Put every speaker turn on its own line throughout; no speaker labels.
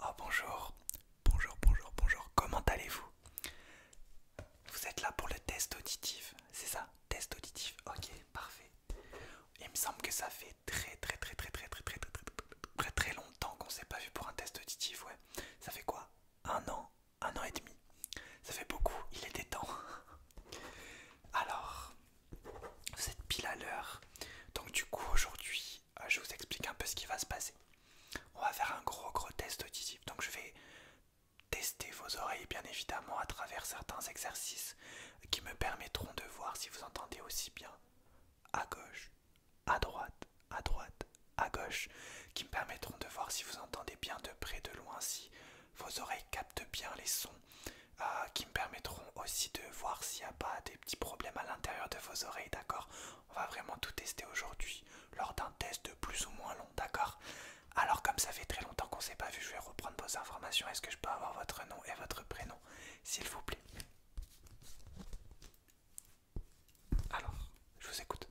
Oh bonjour, bonjour, bonjour, bonjour, comment allez-vous Vous êtes là pour le test auditif, c'est ça Test auditif, ok, parfait. Il me semble que ça fait très très très très très très très très très très longtemps qu'on s'est pas vu pour un test auditif, ouais. Ça fait quoi Un an Un an et demi Ça fait beaucoup, il était temps. Alors, vous pile à l'heure. Donc du coup aujourd'hui, euh, je vous explique un peu ce qui va se passer. On va faire un gros gros test auditif. Donc je vais tester vos oreilles bien évidemment à travers certains exercices qui me permettront de voir si vous entendez aussi bien à gauche, à droite, à droite, à gauche, qui me permettront de voir si vous entendez bien de près, de loin, si vos oreilles captent bien les sons euh, qui me permettront aussi de voir s'il n'y a pas des petits problèmes à l'intérieur de vos oreilles, d'accord On va vraiment tout tester aujourd'hui lors d'un test de plus ou moins long, d'accord Alors comme ça fait très longtemps qu'on ne s'est pas vu, je vais reprendre vos informations. Est-ce que je peux avoir votre nom et votre prénom, s'il vous plaît Alors, je vous écoute.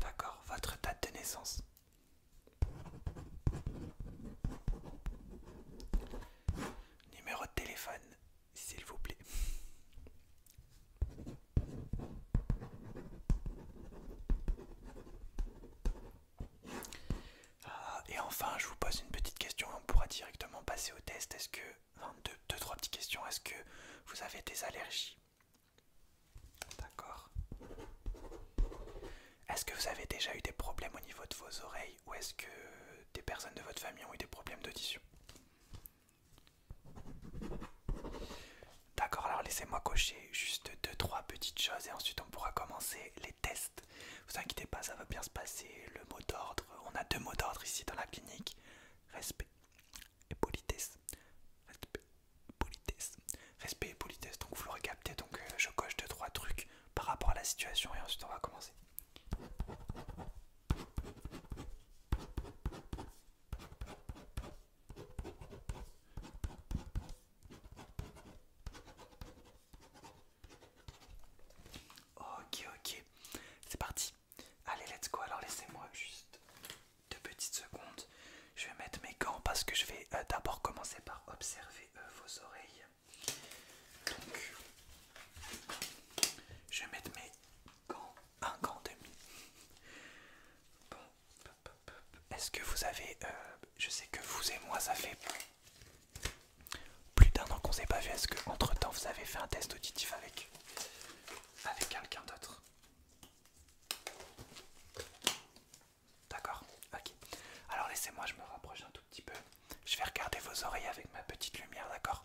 D'accord votre date de naissance. Numéro de téléphone, s'il vous plaît. Ah, et enfin, je vous pose une petite question on pourra directement passer au test. Est-ce que, 3 petites questions. Est-ce que vous avez des allergies D'accord. Est-ce que vous avez déjà eu des problèmes au niveau de vos oreilles ou est-ce que des personnes de votre famille ont eu des problèmes d'audition D'accord, alors laissez-moi cocher juste deux trois petites choses et ensuite on pourra commencer les tests. Vous inquiétez pas, ça va bien se passer. Le mot d'ordre, on a deux mots d'ordre ici dans la clinique. Respect et politesse. Respect, politesse. Respect et politesse. Donc vous l'aurez capté, donc euh, je coche deux, trois trucs par rapport à la situation et ensuite on va commencer. Ok, ok, c'est parti. Allez, let's go. Alors, laissez-moi juste deux petites secondes. Je vais mettre mes gants parce que je vais euh, d'abord commencer par observer euh, vos oreilles. Donc, je vais mettre mes gants, un gant demi. Bon, est-ce que vous avez, euh, je sais que vous et moi, ça fait plus d'un an qu'on s'est pas vu. Est-ce que entre temps vous avez fait un test auditif avec, avec quelqu'un d'autre D'accord, ok. Alors laissez-moi, je me rapproche un tout petit peu. Je vais regarder vos oreilles avec ma petite lumière, d'accord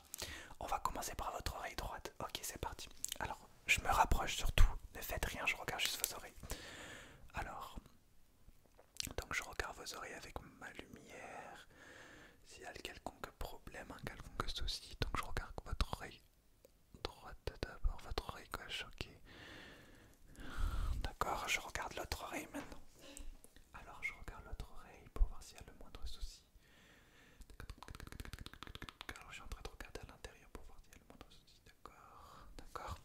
On va commencer par votre oreille droite. Ok, c'est parti. Alors, je me rapproche surtout. Ne faites rien, je regarde juste vos oreilles. Alors, donc je regarde vos oreilles avec ma lumière. S'il y a quelconque problème, un quelconque souci, donc je regarde votre oreille droite d'abord, votre oreille gauche, ok. D'accord, je regarde l'autre oreille maintenant. Alors je regarde l'autre oreille pour voir s'il y a le moindre souci. Alors je suis en train de regarder à l'intérieur pour voir s'il y a le moindre souci. D'accord, d'accord.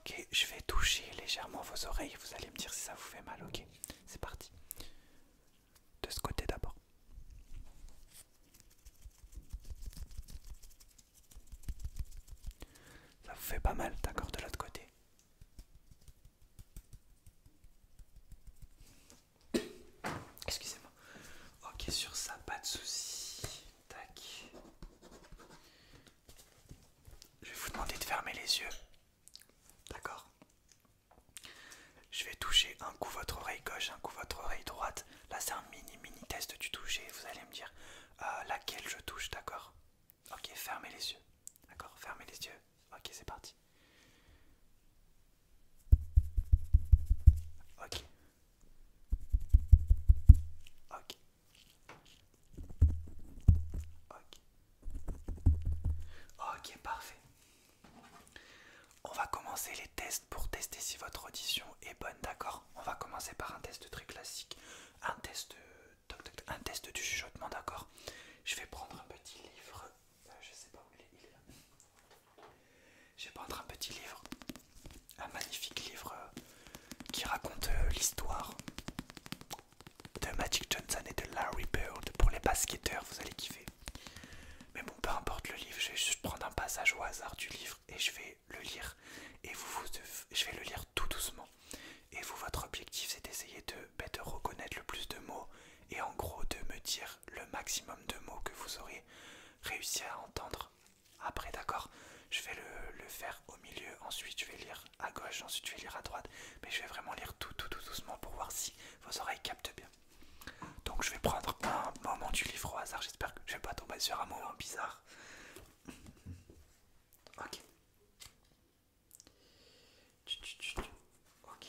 Ok, je vais toucher légèrement vos oreilles, vous allez me dire si ça vous fait mal, ok. C'est parti de ce côté d'abord. Ça vous fait pas mal, d'accord, de l'autre côté. Excusez-moi. Ok, sur ça, pas de souci. Tac. Je vais vous demander de fermer les yeux. D'accord je vais toucher un coup votre oreille gauche, un coup votre oreille droite. Là, c'est un mini mini test du toucher. Vous allez me dire euh, laquelle je touche, d'accord Ok, fermez les yeux. D'accord, fermez les yeux. Ok, c'est parti. Ok. Ok. Ok. Ok, parfait. On va commencer les tests pour tester si votre audition est bonne, d'accord On va commencer par un test très classique, un test, un test du chuchotement, d'accord Je vais prendre un petit livre, euh, je sais pas où il est, Je vais prendre un petit livre, un magnifique livre euh, qui raconte euh, l'histoire de Magic Johnson et de Larry Bird pour les basketteurs, vous allez kiffer. Mais bon, peu importe le livre, je vais juste prendre un passage au hasard du livre et je vais le lire. Et vous, je vais le lire tout doucement. Et vous, votre objectif, c'est d'essayer ben, de, reconnaître le plus de mots et en gros de me dire le maximum de mots que vous aurez réussi à entendre. Après, d'accord Je vais le, le faire au milieu, ensuite je vais lire à gauche, ensuite je vais lire à droite. Mais je vais vraiment lire tout, tout doucement pour voir si vos oreilles captent bien. Donc je vais prendre un moment du livre au hasard, j'espère que je vais pas tomber sur un moment bizarre. Ok. Ok.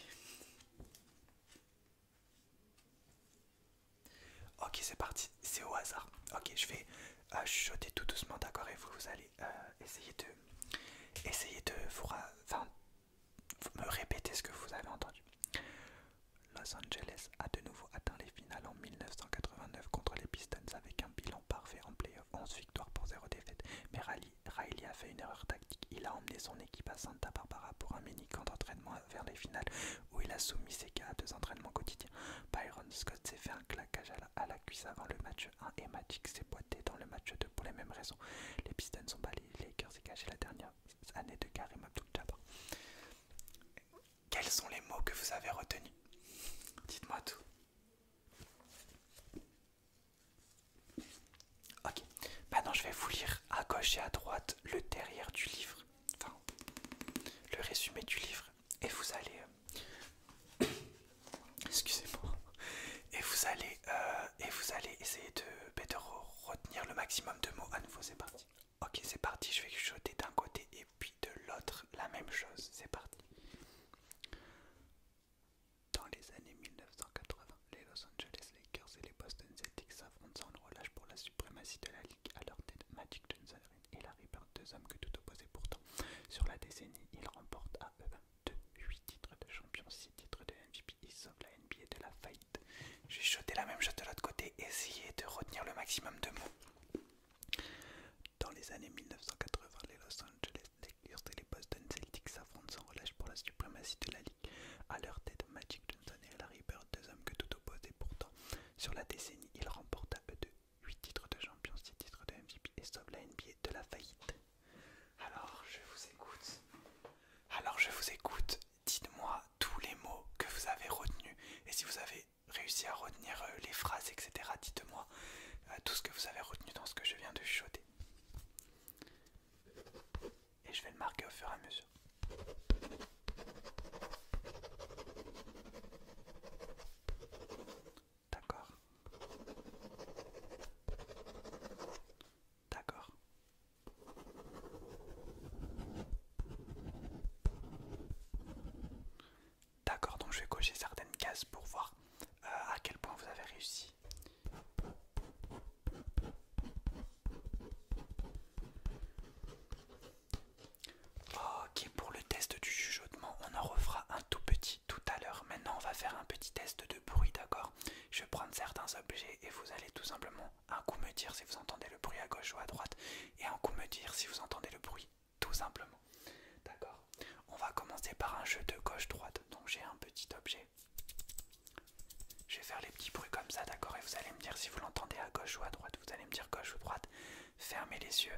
Ok, c'est parti, c'est au hasard. Ok, je vais euh, chuchoter tout doucement, d'accord, et vous, vous allez euh, essayer de essayer de enfin, vous me répétez ce que vous avez entendu. Los Angeles a de nouveau atteint les finales en 1989 contre les Pistons avec un bilan parfait en playoff, 11 victoires pour 0 défaite. Mais Riley a fait une erreur tactique. Il a emmené son équipe à Santa Barbara pour un mini-camp d'entraînement vers les finales où il a soumis ses cas à deux entraînements quotidiens. Byron Scott s'est fait un claquage à la cuisse avant le match 1 et Magic s'est boité dans le match 2 pour les mêmes raisons. Les Pistons sont balayés, les Lakers et gâché la dernière année de Karim Abdul-Jabbar. Quels sont les mots que vous avez retenus Dites-moi tout. Ok, maintenant je vais vous lire à gauche et à droite le derrière du livre, enfin le résumé du livre, et vous allez euh, excusez-moi, et vous allez euh, et vous allez essayer de, ben, retenir le maximum de mots à nouveau. C'est parti. Ok, c'est parti. Je vais jeter d'un côté et puis de l'autre la même chose. C'est parti. Dans les années 1980, les Los Angeles Lakers et les Boston Celtics s'affrontent sans relâche pour la suprématie de la ligue. À leur tête, Magic Johnson et Larry Bird, deux hommes que tout opposait pourtant. Sur la décennie, ils remportent à eux de 8 titres de champion, 6 titres de MVP, et sauvent la NBA de la faillite. J'ai jeté la même chose de l'autre côté, essayez de retenir le maximum de mots. Dans les années 1980, les Los Angeles Lakers et les Boston Celtics s'affrontent sans relâche pour la suprématie de la ligue. À leur tête, Magic Johnson et Larry Bird, deux hommes que tout oppose pourtant, sur la décennie, ils remportent à eux deux 8 titres de champion, 6 titres de MVP et sauvent la NBA de la faillite. Alors je vous écoute. Alors je vous écoute. Dites-moi tous les mots que vous avez retenus. Et si vous avez réussi à retenir euh, les phrases, etc., dites-moi euh, tout ce que vous avez retenu dans ce que je viens de chuchoter. Et je vais le marquer au fur et à mesure. D'accord. D'accord. D'accord, donc je vais cocher certaines cases pour voir euh, à quel point vous avez réussi. Ok, pour le test du chuchotement, on en refera un tout petit tout à l'heure. Maintenant, on va faire un petit test de bruit, d'accord Je vais prendre certains objets et vous allez tout simplement un coup me dire si vous entendez le bruit à gauche ou à droite et un coup me dire si vous entendez le bruit, tout simplement. D'accord On va commencer par un jeu de gauche-droite. Donc j'ai un petit objet. Je vais faire les petits bruits comme ça, d'accord Et vous allez me dire si vous l'entendez à gauche ou à droite. Vous allez me dire gauche ou droite. Fermez les yeux.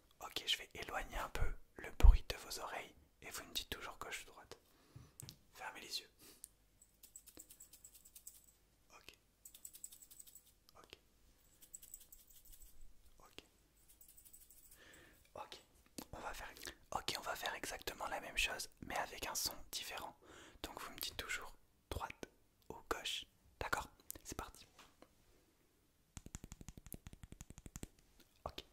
Ok, je vais éloigner un peu le bruit de vos oreilles et vous me dites toujours gauche ou droite. Fermez les yeux. Ok. Ok. Ok. Ok. On va faire. Ok, on va faire exactement la même chose, mais avec un son différent. Donc vous me dites toujours droite ou gauche. D'accord C'est parti. Ok.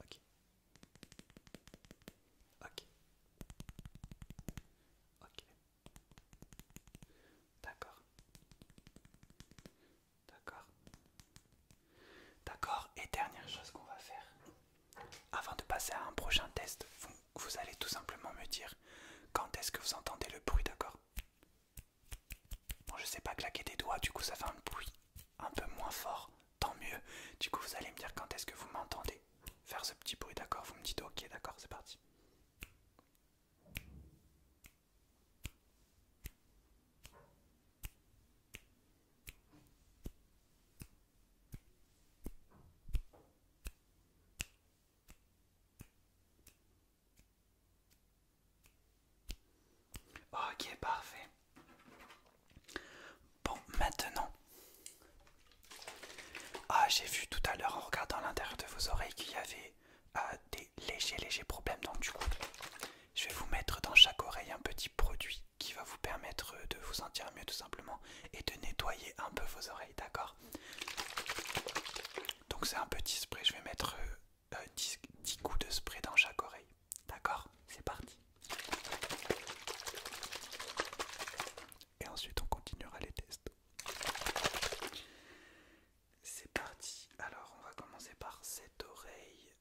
Ok. Ok. D'accord. D'accord. D'accord. Et dernière chose qu'on va faire, avant de passer à un prochain test, vous allez tout simplement me dire quand est-ce que vous entendez le bruit, d'accord Bon, je sais pas claquer des doigts, du coup ça fait un bruit un peu moins fort, tant mieux. Du coup, vous allez me dire quand est-ce que vous m'entendez faire ce petit bruit, d'accord Vous me dites ok, d'accord, c'est parti. Ok, parfait. Bon, maintenant, ah, j'ai vu tout à l'heure en regardant l'intérieur de vos oreilles qu'il y avait euh, des légers, légers problèmes. Donc, du coup, je vais vous mettre dans chaque oreille un petit produit qui va vous permettre euh, de vous sentir mieux, tout simplement, et de nettoyer un peu vos oreilles, d'accord donc c'est un petit spray, je vais mettre 10, euh, 10 euh, coups de spray dans chaque oreille. D'accord C'est parti. Et ensuite on continuera les tests. C'est parti. Alors on va commencer par cette oreille.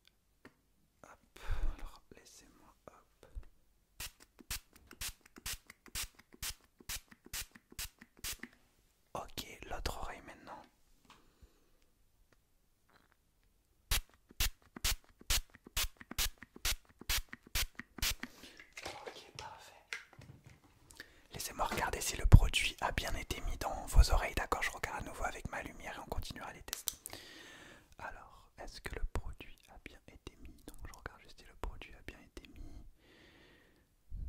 Hop, alors laissez-moi hop. Ok, l'autre oreille maintenant. Ok, parfait. Laissez-moi regarder si le produit a bien été mis dans vos oreilles. D'accord, je regarde à nouveau avec ma lumière et on continuera les tests. Alors, est-ce que le produit a bien été mis Donc, je regarde juste si le produit a bien été mis.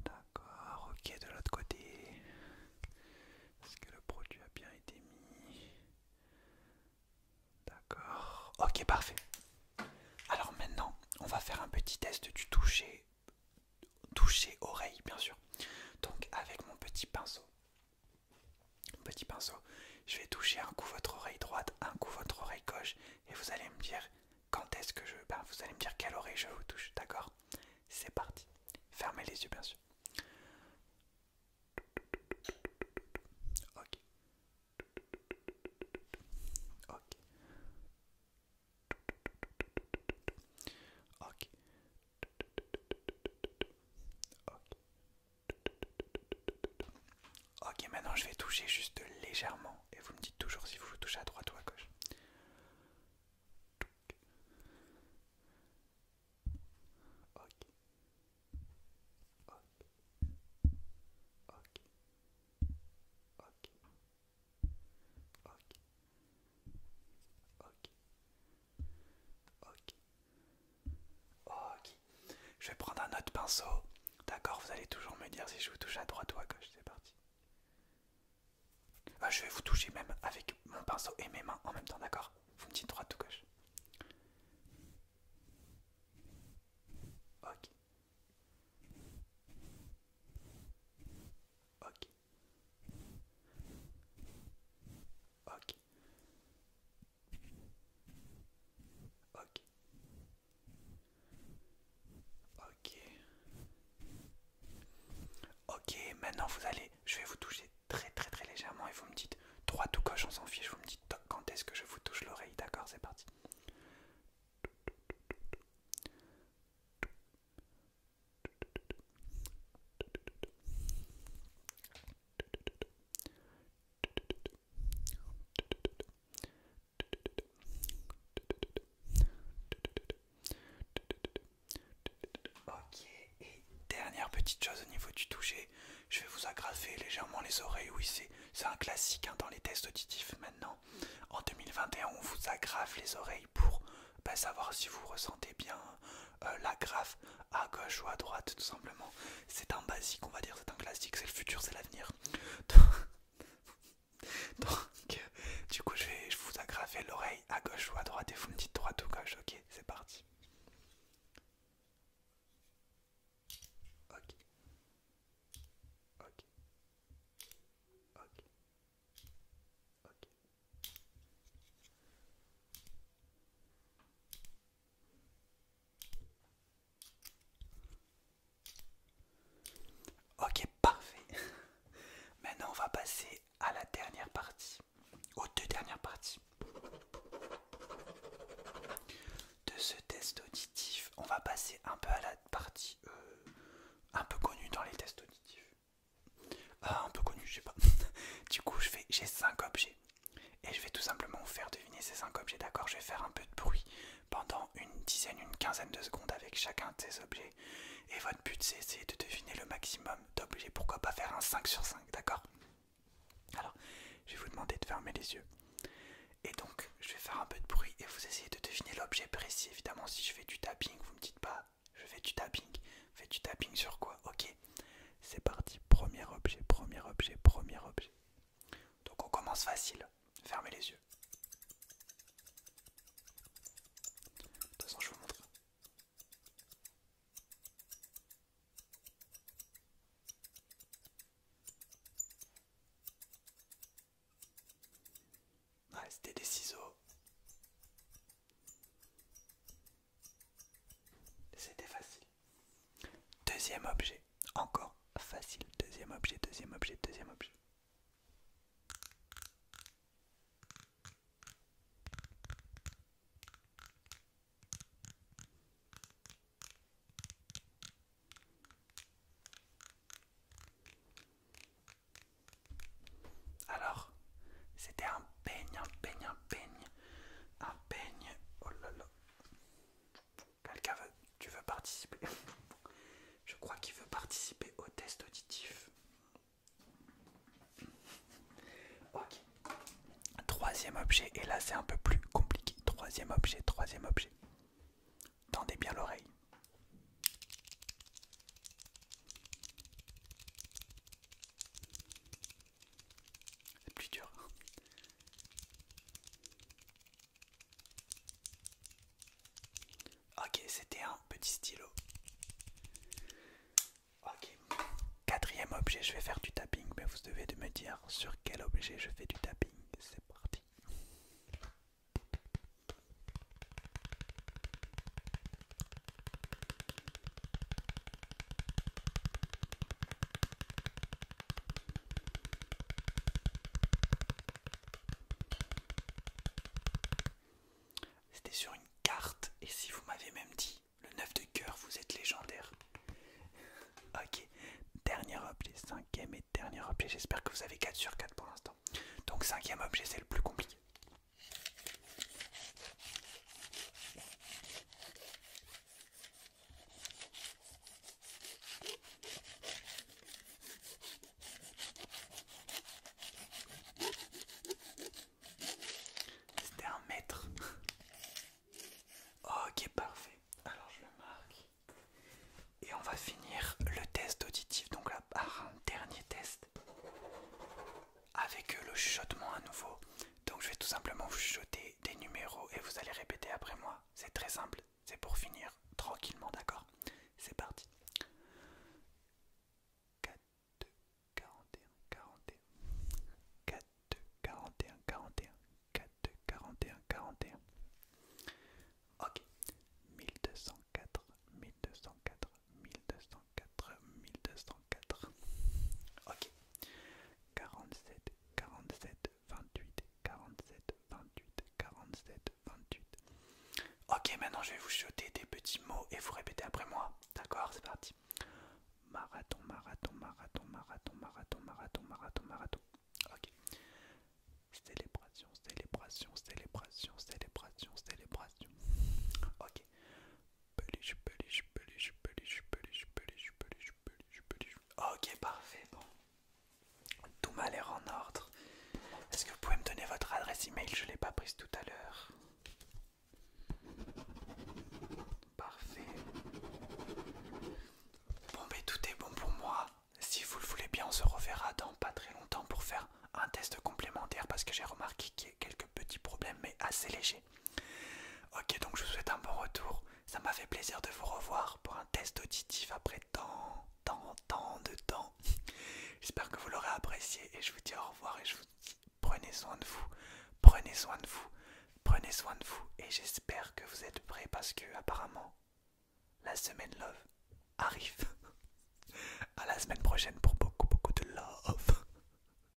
D'accord, ok, de l'autre côté. Est-ce que le produit a bien été mis D'accord, ok, parfait. Alors maintenant, on va faire un petit test du toucher, toucher oreille, bien sûr. Donc avec mon petit pinceau, mon petit pinceau, je vais toucher un coup votre oreille droite, un coup votre oreille gauche, et vous allez me dire quand est-ce que je... Ben, vous allez me dire quelle oreille je vous touche, d'accord C'est parti. Fermez les yeux, bien sûr. Ok. Ok. Ok. Ok, maintenant je vais toucher juste légèrement et vous me dites toujours si vous vous touchez à droite ou à gauche. Ok. Ok. Ok. Ok. Ok. Ok. Ok. Je vais prendre un autre pinceau D'accord, vous allez toujours me dire si je vous touche à droite ou à gauche, c'est parti. Ah, je vais vous toucher même avec mon pinceau et mes mains en même temps, d'accord Vous me dites droite ou gauche. Ok. Ok. Ok. Ok. Ok. Ok, maintenant vous allez, je vais vous toucher très très très légèrement et vous me dites trois tout coche on s'en fiche, vous me dites quand est-ce que je vous touche l'oreille, d'accord, c'est parti. Ok, et dernière petite chose au niveau du toucher, je vais vous agrafer légèrement les oreilles. Oui, c'est un classique hein, dans les tests auditifs maintenant. En 2021, on vous agrafe les oreilles pour pas bah, savoir si vous ressentez bien euh, la l'agrafe à gauche ou à droite, tout simplement. C'est un basique, on va dire, c'est un classique, c'est le futur, c'est l'avenir. Donc, du coup, je vais vous agrafer l'oreille à gauche ou à droite et vous me dites droite ou gauche. Ok, c'est parti. Ok. Ok. Ok. Ok. Ok, parfait. Maintenant, on va passer à la dernière partie, aux deux dernières parties de ce test auditif. On va passer un peu à la partie euh, un peu connue dans les tests auditifs. Ah, un peu connue, je sais pas. du coup, je vais, j'ai 5 objets et je vais tout simplement vous faire deviner ces 5 objets. D'accord, je vais faire un peu de bruit pendant une dizaine, une quinzaine de secondes avec chacun de ces objets. Et votre but c'est essayer de deviner le maximum d'objets. Pourquoi pas faire un 5 sur 5, d'accord Alors, je vais vous demander de fermer les yeux. Et donc, je vais faire un peu de bruit et vous essayez de deviner l'objet précis. Évidemment, si je fais du tapping, vous me dites pas, je fais du tapping. Fais du tapping sur quoi Ok. C'est parti. Premier objet, premier objet, premier objet. Donc on commence facile. Fermez les yeux. De toute façon, je vous montre. Ouais, ah, c'était des ciseaux. C'était facile. Deuxième objet, encore facile. Deuxième objet, deuxième objet, deuxième objet. Alors, c'était un peigne, un peigne, un peigne, un peigne. Oh là là. Quelqu'un veut Tu veux participer Je crois qu'il veut participer au test auditif. Ok. Troisième objet, et là c'est un peu plus compliqué. Troisième objet, troisième objet. Tendez bien l'oreille. C'est plus dur. Ok, c'était un petit stylo. Ok. Quatrième objet, je vais faire du tapping, mais vous devez me dire sur quel objet je fais du tapping. C'est parti. C'était sur une carte, et si vous m'avez même dit le 9 de cœur, vous êtes légendaire. ok, dernier objet, cinquième et dernier objet. J'espère que vous avez 4 sur 4 pour l'instant. Donc, cinquième objet, c'est le plus compliqué. C'était un mètre. Ok, parfait. Alors je le marque. Et on va finir le test auditif, donc là par un dernier test avec le chuchotement à nouveau. Donc je vais tout simplement vous jeter des numéros et vous allez répéter après moi. C'est très simple, c'est pour finir tranquillement, d'accord C'est parti. 4, 41, 41. 4, 2, 41, 41. 4, 2, 41, 41. Ok. 1204, 1204, 1204, 1204. Ok. 47 47 28 47 28 47 28 Ok maintenant je vais vous jeter des petits mots et vous répéter après moi D'accord c'est parti Marathon marathon marathon marathon marathon marathon marathon marathon Ok Célébration célébration célébration célébration célébration Ok Ok, parfait, bon. Tout m'a l'air en ordre. Est-ce que vous pouvez me donner votre adresse email Je ne l'ai pas prise tout à l'heure. Parfait. Bon, mais tout est bon pour moi. Si vous le voulez bien, on se reverra dans pas très longtemps pour faire un test complémentaire parce que j'ai remarqué qu'il y a quelques petits problèmes, mais assez légers. Ok, donc je vous souhaite un bon retour. Ça m'a fait plaisir de vous revoir pour un test auditif après tant, tant, tant de temps. J'espère que vous l'aurez apprécié et je vous dis au revoir et je vous dis prenez soin de vous, prenez soin de vous, prenez soin de vous et j'espère que vous êtes prêts parce que apparemment la semaine love arrive. À la semaine prochaine pour beaucoup beaucoup de love.